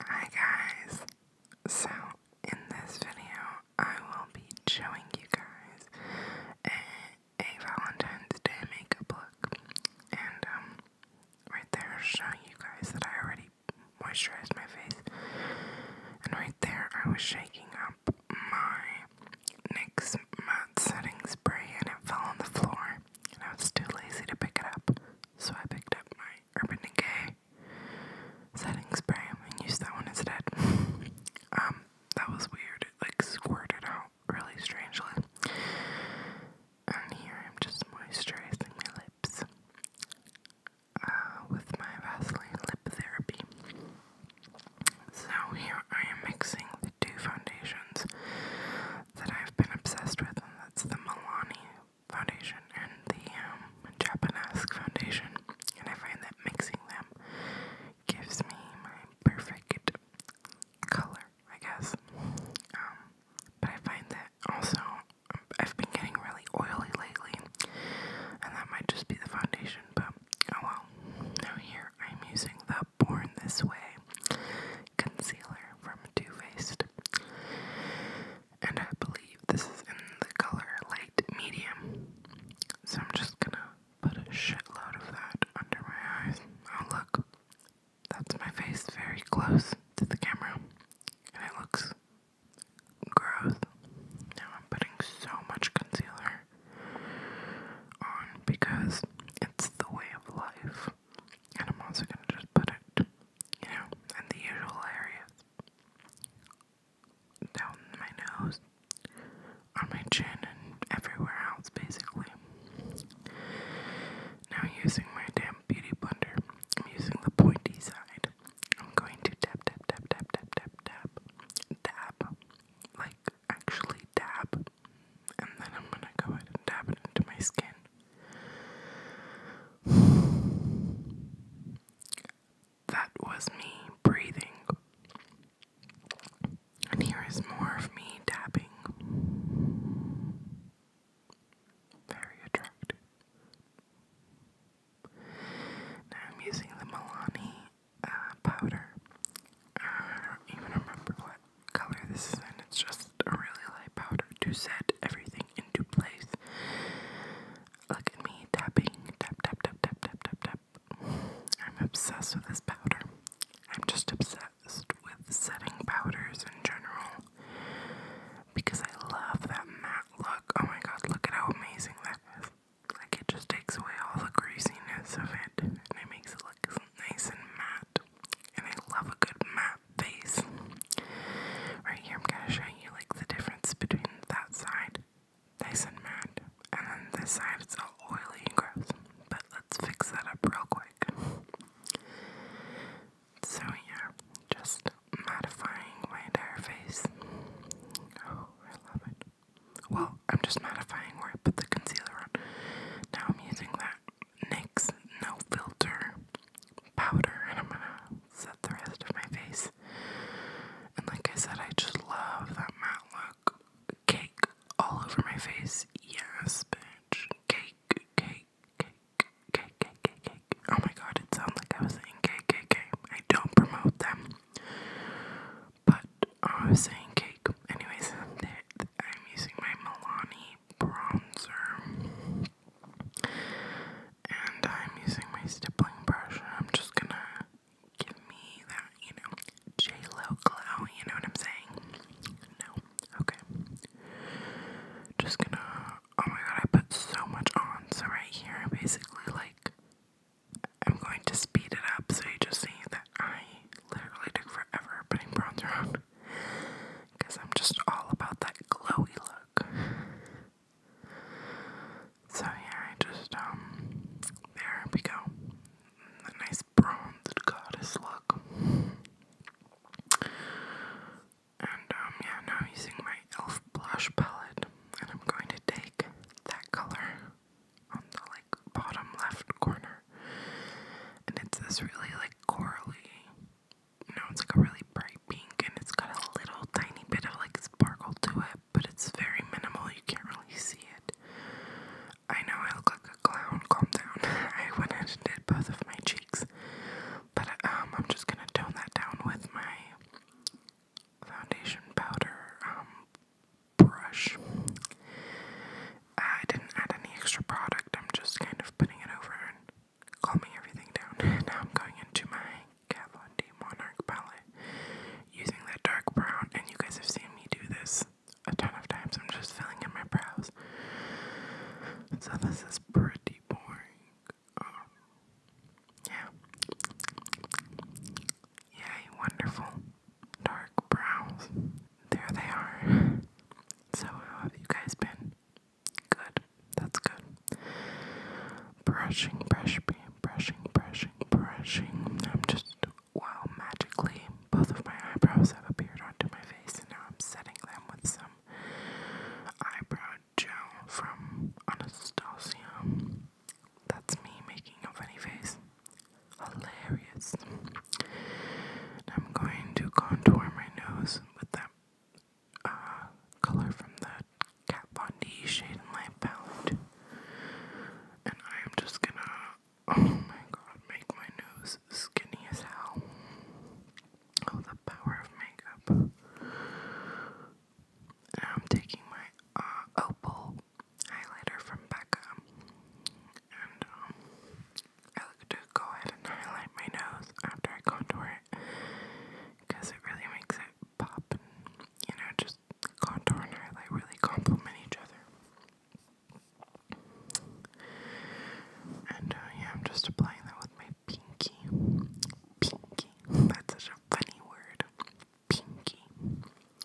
Hi guys! So, in this video, I will be showing you guys a, Valentine's Day makeup look. And, um, right there, showing you guys that I already moisturized my face. And right there, I was shaking up my NYX Matte Setting Spray and it fell on the floor. And I was too lazy to pick it up. So I picked up my Urban Decay setting spray and used that one instead. Um, that was weird. It like squirted out really strangely. And here I'm just moisturizing my lips uh, with my Vaseline Lip Therapy. So here I am mixing the two foundations that I've been obsessed with, and that's the Milani foundation and the um, Japanese foundation, and I find that mixing them gives me my perfect color, I guess. Um, but I find that also I've been getting really oily lately, and that might just be the foundation, but oh well. Now, here I'm using the Born This Way concealer from Too Faced. And I believe this is in the color light medium. So I'm just gonna put a shitload of that under my eyes. Oh, look. That's my face very close to the camera. And it looks gross. Now I'm putting so much concealer on because it's the way of life. And I'm also gonna just put it you know, in the usual areas. Down my nose, on my chin, and everywhere else, basically. Now, using my damn beauty blender, I'm using the pointy side. I'm going to tap, tap, tap, tap, tap, tap, dab, like actually dab, and then I'm gonna go ahead and dab it into my skin. That was me breathing. And here is more of me tapping. Very attractive. Now I'm using the Milani uh, powder. I don't even remember what color this and It's just a really light powder to set everything into place. Look at me tapping, tap, tap, tap, tap, tap, tap, I'm obsessed with this powder. I'm just obsessed with setting powders in general because I love that matte look. Oh my god, look at how amazing that is. Like, it just takes away all the greasiness of it and it makes it nice and matte. And I love a good matte face. Right here, I'm gonna show you like the difference between that side, nice and matte, and then this side it's all oily and gross. But let's fix that up real quick. So yeah, just mattifying my entire face. Oh, I love it. Well, I'm just mattifying where I put the concealer on. Now I'm using that NYX No Filter powder, and I'm gonna set the rest of my face. And like I said, I just love that matte look. Cake all over my face. Yes, bitch. Cake, cake, cake, cake, cake, cake, cake. Oh my god, it sounded like I was saying KKK. I don't promote them. But oh, I was saying KKK anyways, I'm using my Milani bronzer. And I'm using my stippling brush, I'm just gonna give me that, you know, J Lo glow. You know what I'm saying? No, okay. Just gonna. Oh my god, I put so much on. So right here, basically, like, I'm going to speed it up. So you just see that I literally took forever putting bronzer on because I'm just all about that glowy look. So yeah, I just um there we go. A nice bronzed goddess look. And um yeah, now using my elf blush palette and I'm going to take that color on the like bottom left corner. And it's this really like corally no, it's like a really bright pink and it's got a little tiny bit of like sparkle to it, but it's very minimal, you can't really see it. I know I look like a clown, calm down. I went ahead and did both of my cheeks. But um I'm just gonna tone that down with my foundation powder, um brush. I didn't add any extra product, I'm just kind of putting it over and calming everything down. Now I'm going into my Kat D Monarch palette using that dark brown, and you guys have seen me do this a ton of times. I'm just filling in my brows. So this is pretty boring. Um, yeah. wonderful dark brows there they are. So, how have you guys been? Good, that's good. Brushing, brushing, brushing, brushing, brushing. I'm just, wow, magically, both of my eyebrows have appeared onto my face, and now I'm setting them with some eyebrow gel from Anastasia. That's me making a funny face hilarious. I'm going to contour my nose with that uh, color from the Kat Von D Shade Light palette. And I am just gonna, oh my god, make my nose skinny as hell. Oh, the power of makeup. And I'm taking my uh, opal highlighter from Becca, and um, I like to go ahead and highlight my nose after I contour it because it really makes it pop. you know, just contour and highlight really complement each other. And uh, I'm just applying that with my pinky. Pinky. That's such a funny word pinky.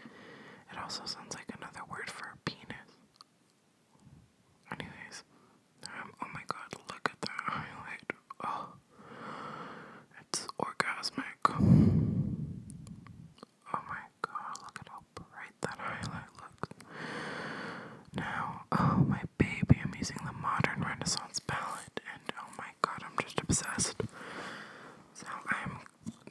It also sounds like another word for penis. Anyways, um, oh my god, look at that highlight. Oh, it's orgasmic. Oh my god, look at how bright that highlight looks. Now, oh my baby, I'm using the modern Renaissance palette, and oh my god, I'm just obsessed. So I'm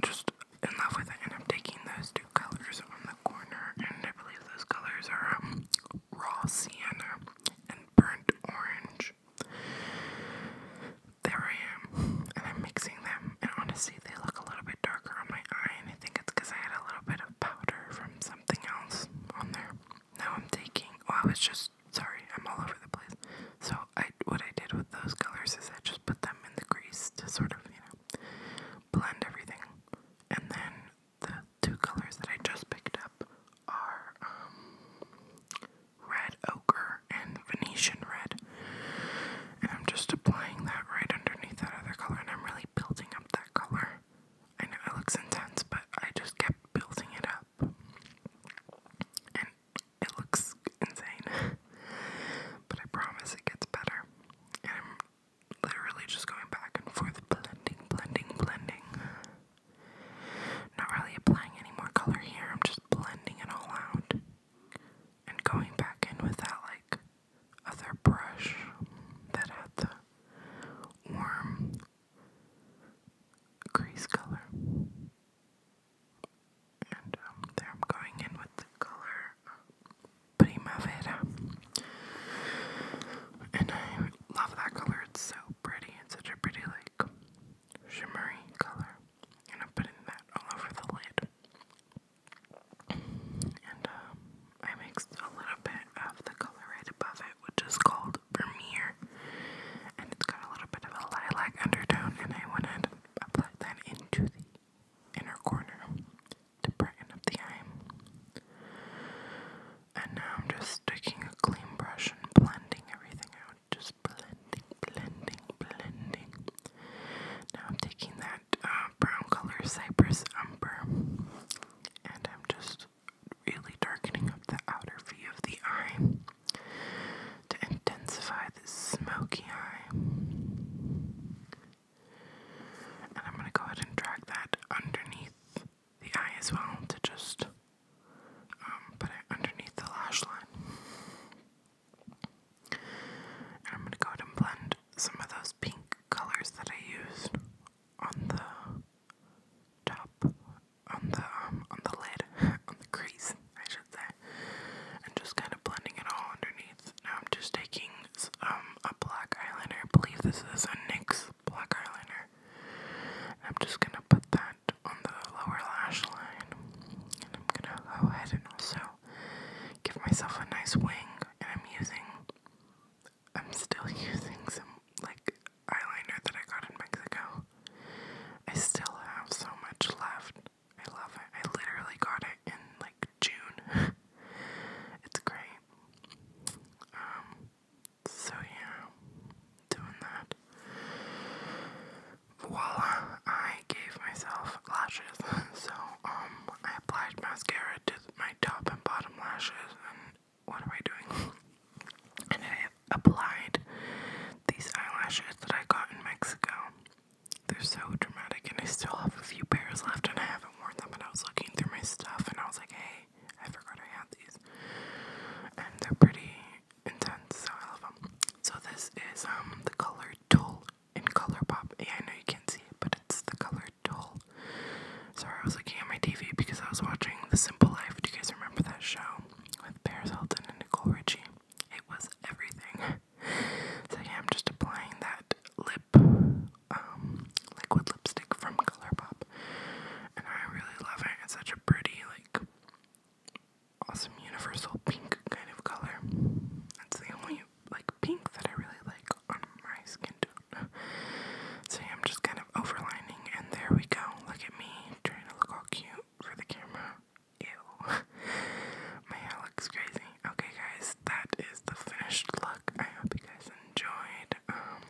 just in love with it, and I'm taking those two colors on the corner, and I believe those colors are um, raw sienna and burnt orange. There I am, and I'm mixing them, and honestly, they look a little bit darker on my eye, and I think it's because I had a little bit of powder from something else on there. Now I'm taking, Oh, I was just, sorry, I'm all over the place. So I what I did with those colors is I just put them in the grease to sort of, you know, blend everything. And then the two colors that I just picked up are um, red ochre and Venetian red. And I'm just applying that right underneath that other color, and I'm really building up that color. I know it looks intense, but I just kept building it up. And it looks insane. but I promise it gets better. I'm literally just going back and forth, blending, blending, blending. Not really applying any more color here, I'm just blending it all out. And going back in with that, like, other brush that had the warm crease color. And um, there I'm going in with the color Primavera. And I love that color, it's so pretty. It's such a pretty, like, shimmery color. And I'm putting that all over the lid. And um, I mixed a little bit of the color right above it, which is called called and it's got a little bit of a lilac undertone, and I wanted to apply that into the inner corner to brighten up the eye. And now I'm just taking a clean brush and blending everything out, just blending, blending, blending. Now I'm taking that uh, brown color, Cypress Umber, and I'm just really darkening up the outer V of the eye to intensify the smoky eye. And I'm going to go ahead and drag that underneath the eye as well to just um, put it underneath the lash line. And I'm going to go ahead and blend some of those pink colors that I used on the top on the um, on the lid, on the crease, I should say, and just kind of blending it all underneath. Now I'm just taking um a black eyeliner. I believe this is a NYX black eyeliner. I'm just gonna put that on the lower lash line, and I'm gonna go ahead and also give myself a nice wing. And I'm using, I'm still using some like eyeliner that I got in Mexico. I still have so much left. I love it. I literally got it in like June. it's great. Um, so yeah, doing that. Voila, I gave myself lashes. So, um, I applied mascara to my top and bottom lashes and what am I doing? And I applied these eyelashes that I got in Mexico. They're so dramatic, and I still have a few pairs left, and I haven't worn them. And I was looking through my stuff, and I was like, hey, I forgot I had these. And they're pretty intense, so I love them. So, this is um the color Tool in Color Pop. Yeah, I know you can't see it, but it's the color Tool. Sorry, I was looking at my TV because I was watching The Simple Life. Do you guys remember that? show with Paris Hilton and Nicole Richie. It was everything. So I'm just applying that lip, um, liquid lipstick from ColourPop, and I really love it. It's such a pretty, like, awesome universal pink kind of color. That's the only like pink that I really like on my skin tone. So I'm just kind overlining, and there we go. Look at me trying to look all cute for the camera. Ew. My hair looks crazy. Okay, guys, that is the finished look. I hope you guys enjoyed. Um,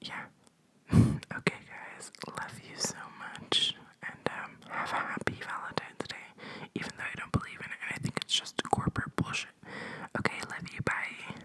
yeah. okay, guys, love you so much, and um, have a happy Valentine's Day. Even though I don't believe in it, I think it's just corporate bullshit. Okay, love you. Bye.